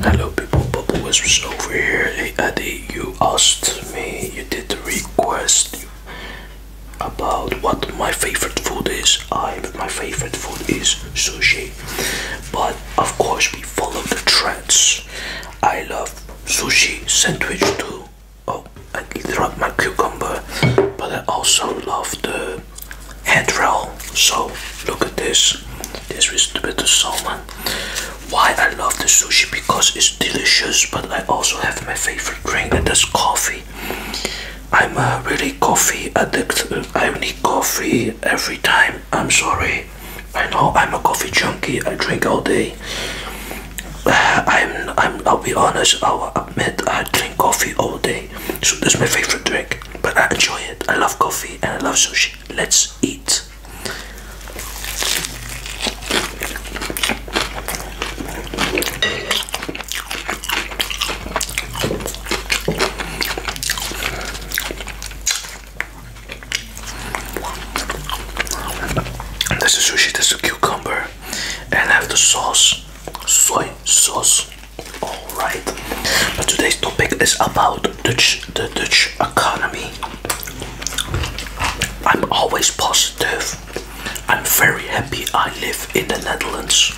Hello people, Bubble Whispers over here. Hey Eddie, you asked me, you did the request about what my favorite food is. I my favorite food is sushi. But of course we follow the trends. I love sushi sandwich too. Oh, I dropped my cucumber. But I also love the head roll so look at this. This is the bit of salmon. Why I love the sushi because it's delicious, but I also have my favorite drink and that's coffee. I'm a really coffee addict. I need coffee every time. I'm sorry. I know I'm a coffee junkie. I drink all day. i I'm, I'll be honest, I'll admit I drink coffee all day. So that's my favorite drink. But I enjoy it. I love coffee and I love sushi. Let's eat. This is sushi, this is a cucumber, and I have the sauce, soy sauce. Alright, but today's topic is about Dutch, the Dutch economy. I'm always positive. I'm very happy I live in the Netherlands.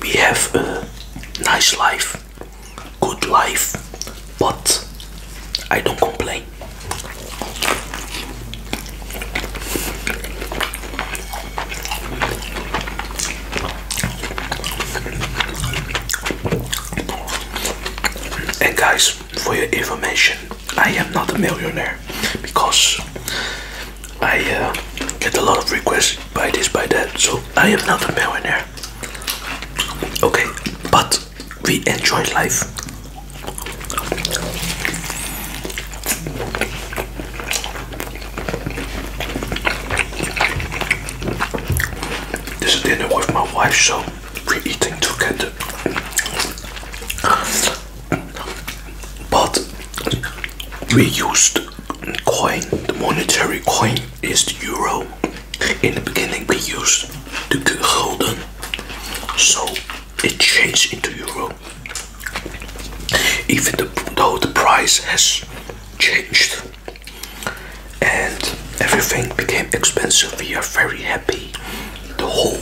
We have a nice life, good life, but I don't complain. And guys, for your information, I am not a millionaire because I uh, get a lot of requests by this, by that, so I am not a millionaire. Okay, but we enjoy life. This is dinner with my wife, so we're eating together. But we used coin, the monetary coin is the euro. In the beginning, we used the gulden, so it changed into euro. Even though the price has changed and everything became expensive. We are very happy. The whole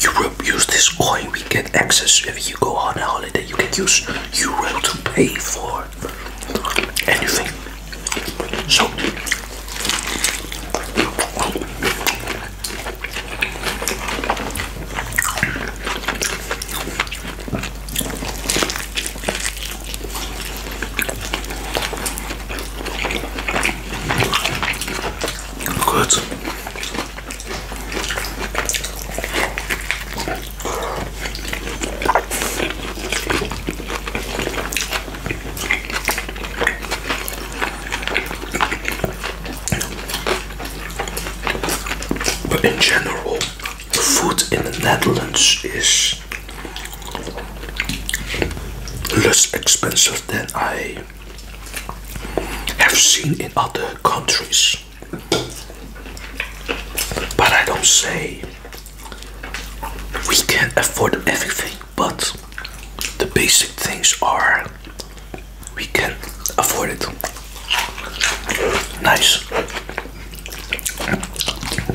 Europe use this coin. We get access if you go on a holiday. You can use euro to pay for anything. So Good. But in general, food in the Netherlands is less expensive than I have seen in other countries. But I don't say we can not afford everything, but the basic things are we can afford it. Nice.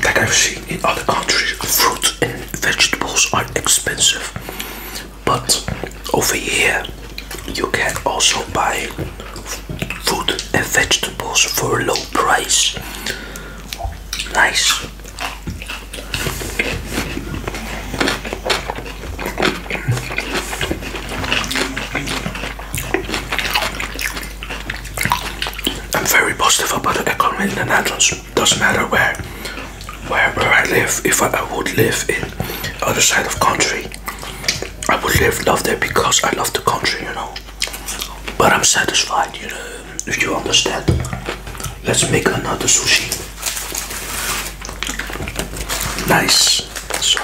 Like I've seen in other countries, fruit and vegetables are expensive, but over here you can also buy food and vegetables for a low price. Nice. I'm very positive about the economy in the Netherlands. Doesn't matter where, where, where I live. If I, would live in other side of country, I would live love there because I love the country, you know. But I'm satisfied, you know. If you understand. Let's make another sushi. Nice. So.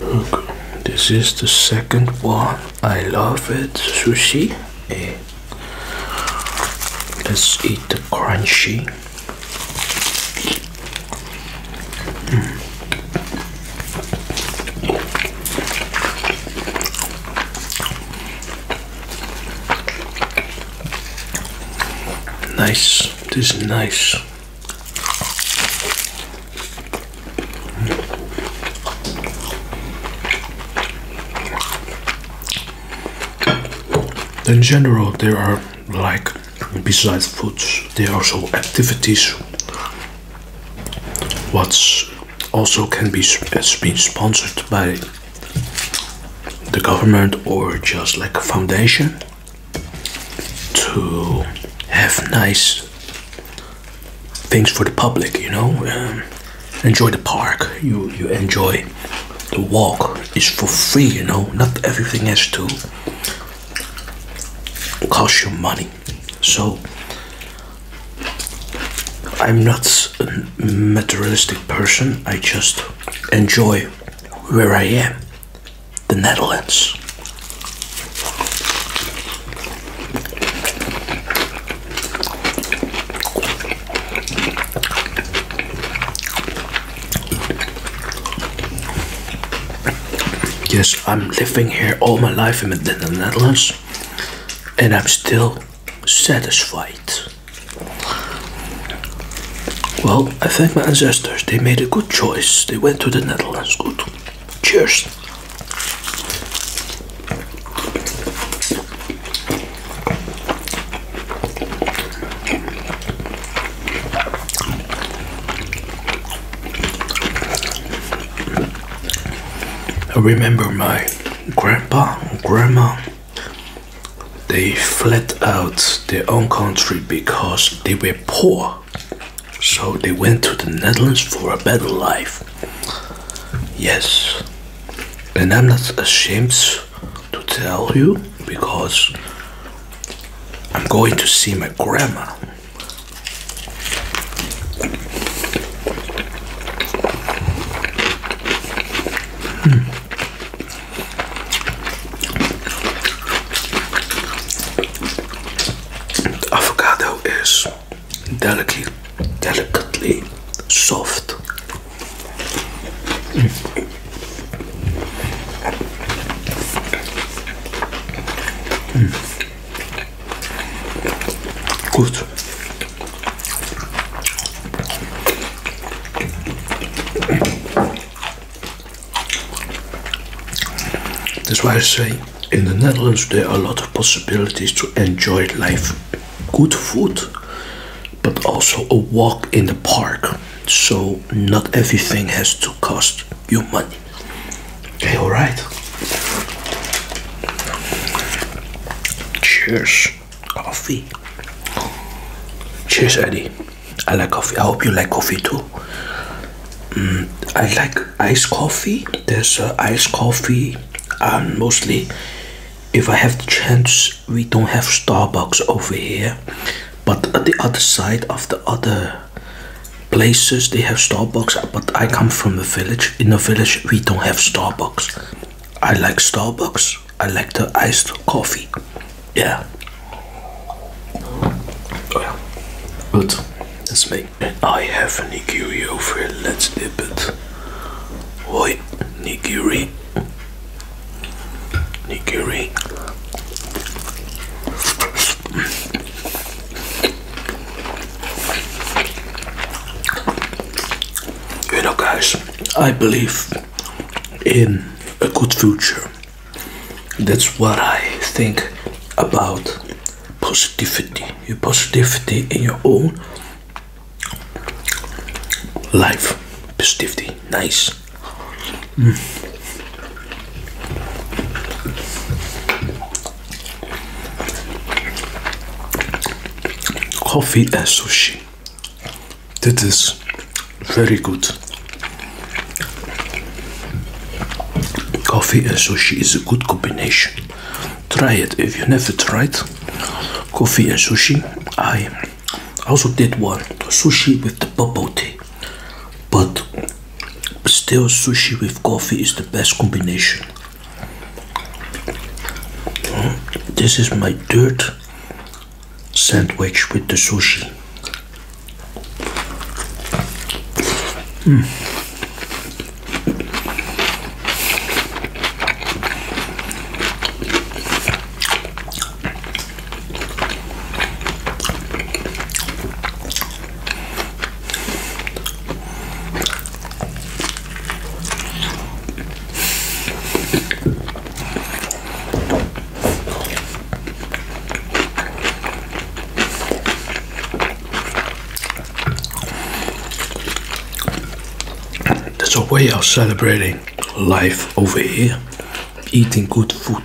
Look, this is the second one. I love it. Sushi. Eh. Let's eat the crunchy. Hmm. Nice, this is nice. In general, there are like besides foods, there are also activities. What's also can be has uh, been sponsored by the government or just like a foundation to have nice things for the public, you know. Um, enjoy the park. You you enjoy the walk. It's for free, you know. Not everything has to cost you money. So I'm not a materialistic person. I just enjoy where I am the Netherlands. Yes, I'm living here all my life in the Netherlands and I'm still satisfied. Well, I think my ancestors they made a good choice. They went to the Netherlands. Good. Cheers. I remember my grandpa grandma they fled out their own country because they were poor so they went to the Netherlands for a better life. Yes. And I'm not ashamed to tell you because I'm going to see my grandma. Hmm. De avocado is delicate, delicately soft. Goed. That's why I say in the Netherlands there are a lot of possibilities to enjoy life. Good food, but also a walk in the park. So not everything has to cost you money. Okay, alright. Cheers. Coffee. Cheers, Eddie. I like coffee. I hope you like coffee too. Mm, I like iced coffee. There's uh, iced coffee, mostly, if I have the chance, we don't have Starbucks over here, but at the other side of the other places they have Starbucks. But I come from the village. In the village, we don't have Starbucks. I like Starbucks. I like the iced coffee. Yeah. Oh yeah. Good. That's me. I have a nigiri over here. Let's dip it. Oi, nigiri. Nigiri. You know, guys, I believe in a good future. That's what I think about positivity. Your positivity in your own life. Positivity. Nice. Mm. Coffee and sushi. This is very good. Coffee and sushi is a good combination. Try it if you never tried coffee and sushi. I also did one sushi with the bubble tea, but still, sushi with coffee is the best combination. Hmm? This is my third sandwich with the sushi. Mm. That's a way of celebrating life over here, eating good food.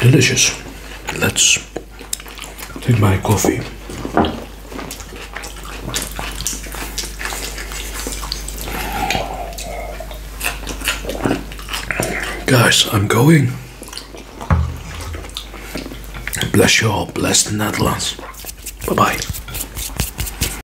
Delicious. Let's take my coffee. Guys, I'm going. Bless you all. Bless the Netherlands. Bye bye.